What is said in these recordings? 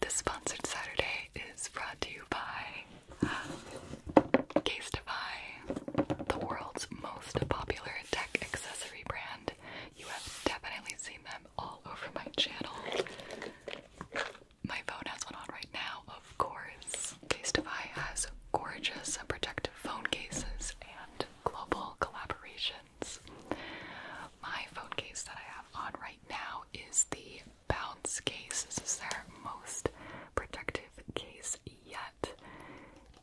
This sponsored Saturday is brought to you by Casetify, the world's most popular tech accessory brand. You have definitely seen them all over my channel. My phone has one on right now, of course. Casetify has gorgeous protective phone cases and global collaborations. My phone case that I have on right now is the Bounce case. This is their most protective case yet.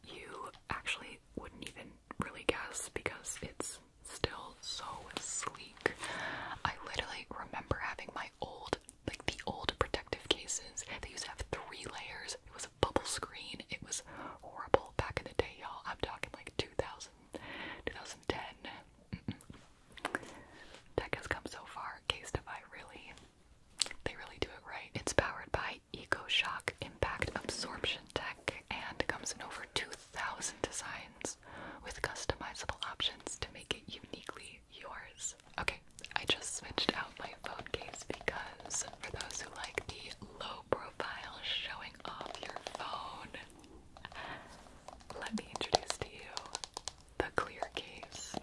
You actually wouldn't even really guess because it's still so sleek. I literally remember having my old, like the old protective cases. They used to have three layers. It was a bubble screen. It was horrible back in the day, y'all. I'm talking like 2000, 2010, Tech has come so far. Case Defy really, they really do it right. It's powered by Eco Shock Impact Absorption Tech and comes in over 2,000 designs with customizable options to make it uniquely yours. Okay, I just switched out my phone case because for those who like the low profile showing off your phone, let me introduce to you the clear case.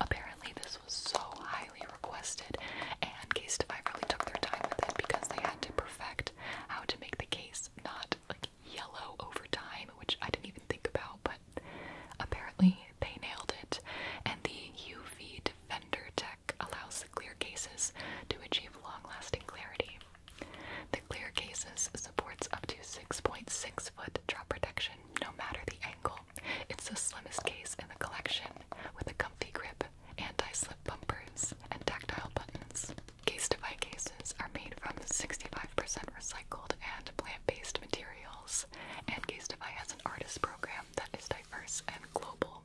Apparently, this was so highly requested, and Case Defy really took their time with it because they had to perfect how to make the case not like yellow over time, which I didn't even think about, but apparently they nailed it. And the UV Defender tech allows clear cases to achieve long lasting clarity. The clear cases supports up to 6.6 foot drop protection no matter the angle. It's the slimmest case in the collection with a comfy grip, anti-slip bumpers, and tactile buttons. Case-to-buy cases are made from 65% recycled and plant-based materials, and Case-to-buy has an artist program that is diverse and global.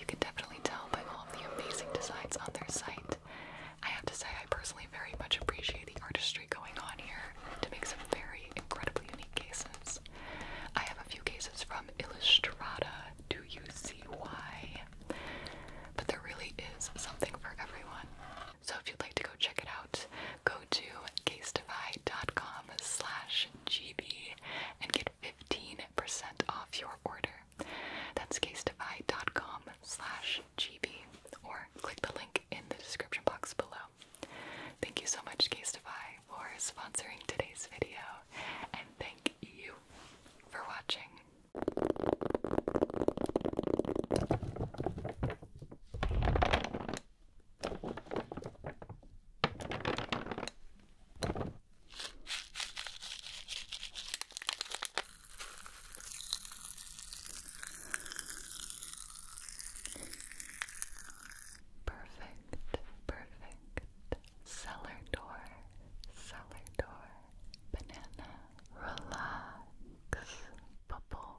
You can definitely tell by all of the amazing designs on their site. I have to say, I personally very much appreciate the artistry going on here to make some very incredibly unique cases. I have a few cases from Illustrata, do you see why? But there really is something for everyone. So if you'd like to go check it out, go to casedify.com slash gb and get 15% off your order. That's casetify.com slash gb or click the link in the description box below. Thank you so much, Casetify, for sponsoring today's video, and thank you for watching. Perfect, perfect. Cellar door, cellar door. Banana, relax, bubble.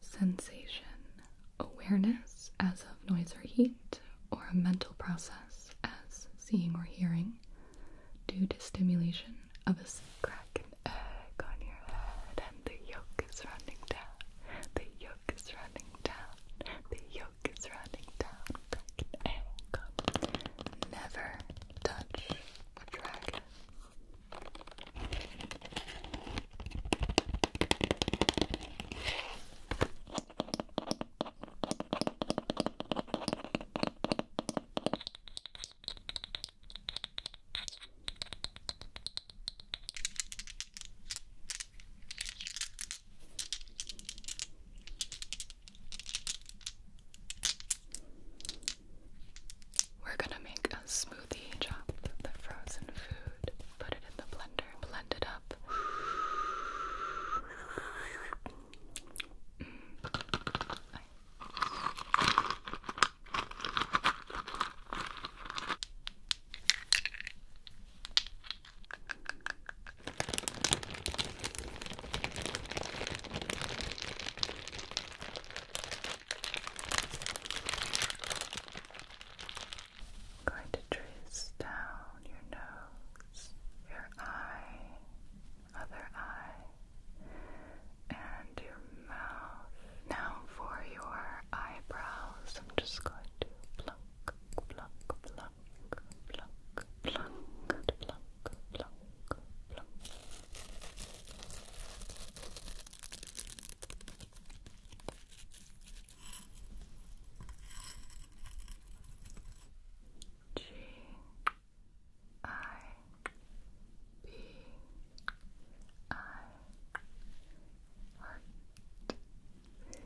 Sensation. Awareness as of noise or heat, or a mental process as seeing or hearing, due to stimulation of a cracking egg on your head, and the yolk is running down. The yolk is running down. The yolk is running down. Never touch a dragon. We're gonna make a smoothie. Chop the frozen food, put it in the blender, blend it up. I'm going to trace down your nose, your eye, other eye, and your mouth. Now for your eyebrows, I'm just going to pluck, pluck, pluck pluck,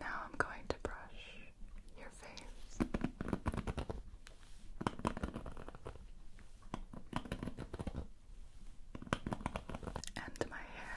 Now I'm going to brush your face and my hair.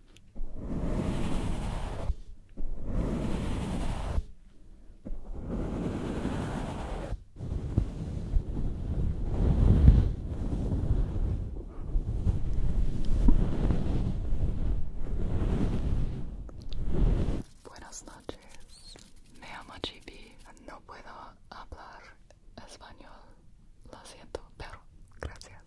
Buenas noches, me llamo Chibi, no puedo hablar español, lo siento, pero gracias.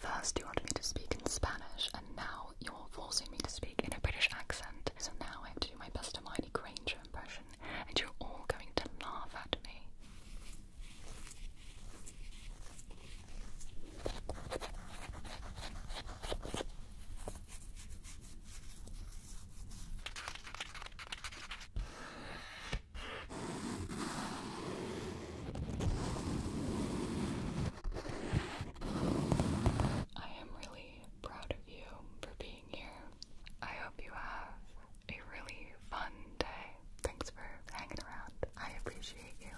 First, you wanted me to speak in Spanish, and now you're forcing me to speak in a British accent. So now I have to do my best Hermione Granger impression, and you're all going to laugh at me. I am really proud of you for being here. I hope you have a really fun day. Thanks for hanging around. I appreciate you.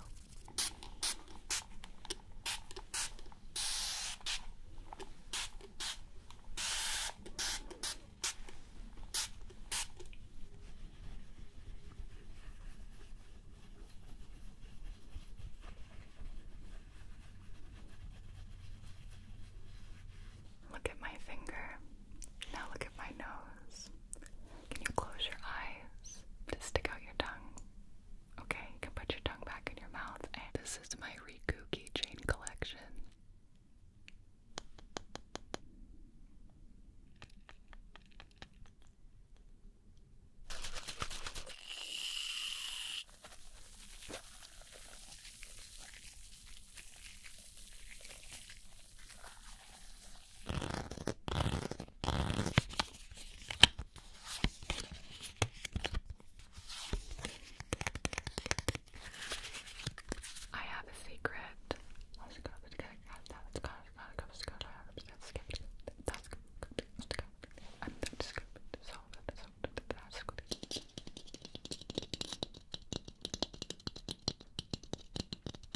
Look at my finger. Now look at my nose. Can you close your eyes? Just stick out your tongue. Okay, you can put your tongue back in your mouth. And this is my Riku keychain collection. I have a secret. Let's go. Let's go. Let's go. Let's go. Let's go. Let's go. I'm just going to solve it. Solve it. That's good.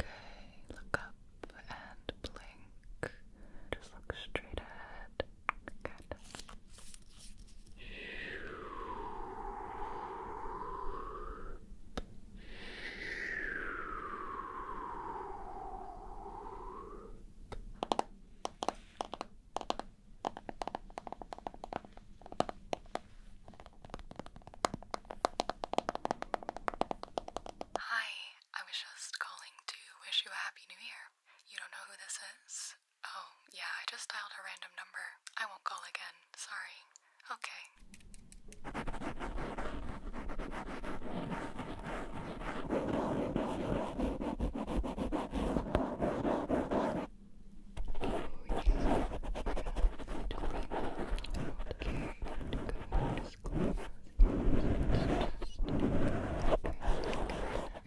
Okay, look up and blink. Just look straight ahead. Good. Hi, I was just calling to wish you a happy new year. You don't know who this is? Oh, yeah, I just dialed a random number. I won't call again. Sorry. Okay.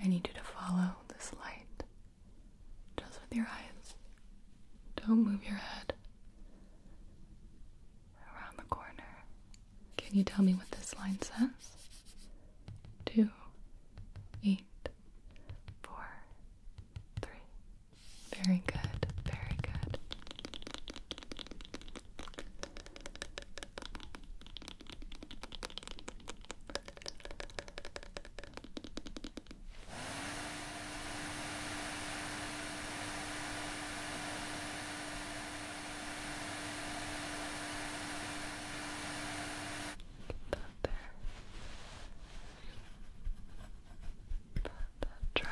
I need you to follow this light just with your eyes. Don't move your head around the corner. Can you tell me what this line says? Two, eight, four, three. Very good, very good. Get that there. Let that dry. There. Good.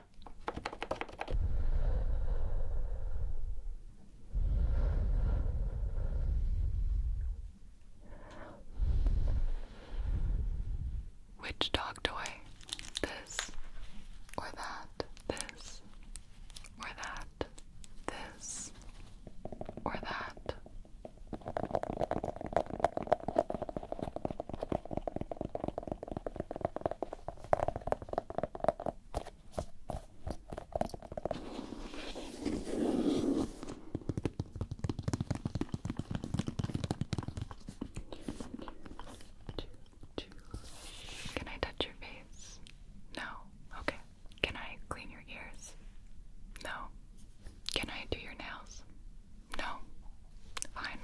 Which dog toy? This or that? This or that? This or that? Can I touch your face? No. Okay. Can I clean your ears? No. Can I do your nails? No. Fine.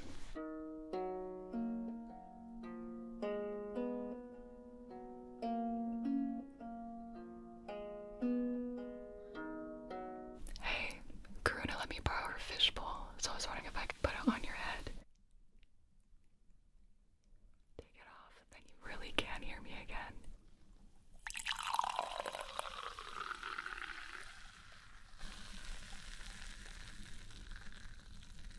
Hey, Karuna let me borrow her fishbowl, so I was wondering if I could put it on your head. Take it off, then you really can hear me again.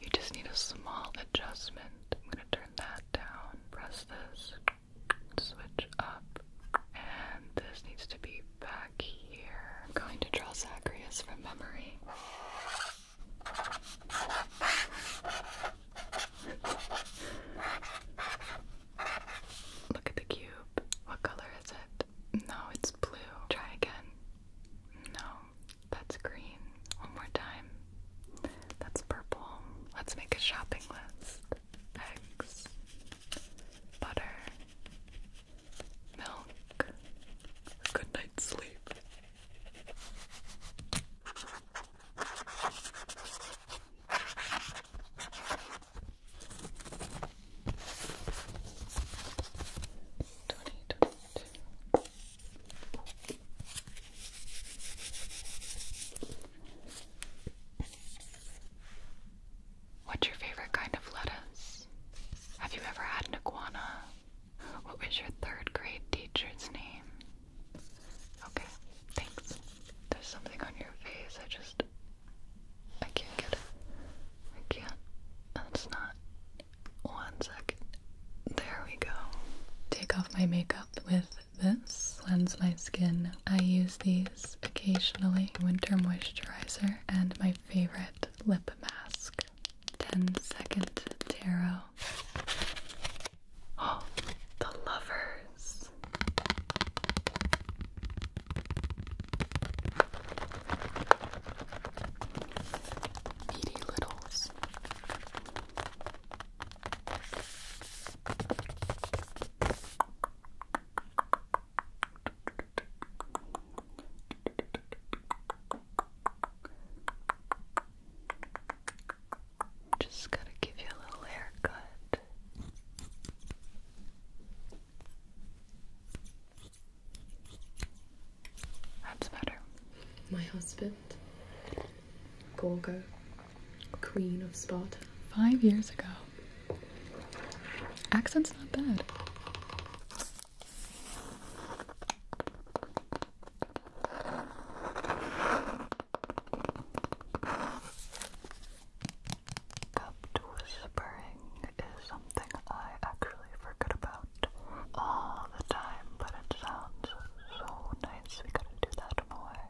You just need a small adjustment. I'm going to turn that down, press this, switch up, and this needs to be back here. I'm going to draw Zacharias from memory. Look at the cube. What color is it? No, it's blue. Try again. No, that's green. One more time. That's purple. Let's make a shopping list. Eggs, butter, milk, good night's sleep. What's your favorite kind of lettuce? Have you ever had an iguana? What was your third grade teacher's name? Okay, thanks. There's something on your face. I just. I can't get it. I can't. That's not. One second. There we go. Take off my makeup with this. Cleanse my skin. I use these occasionally. Winter moisturizer and my favorite lip mask. 10 second tarot. Oh, the lovers. Needy littles. Just gotta give you a little haircut. That's better. My husband, Gorgo, Queen of Sparta. Five years ago. Accent's not bad. Cupped whispering is something I actually forget about all the time, but it sounds so nice. We gotta do that more.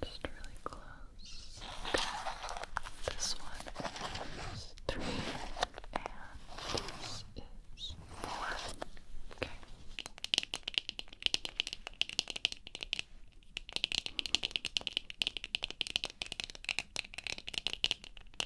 Just really close. Okay. This one is three and this is four. Okay. Okay.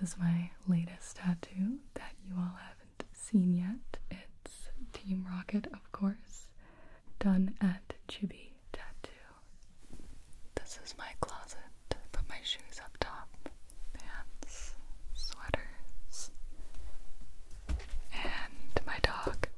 This is my latest tattoo that you all haven't seen yet. It's Team Rocket, of course, done at Chibi Tattoo. This is my closet. Put my shoes up top, pants, sweaters, and my dog.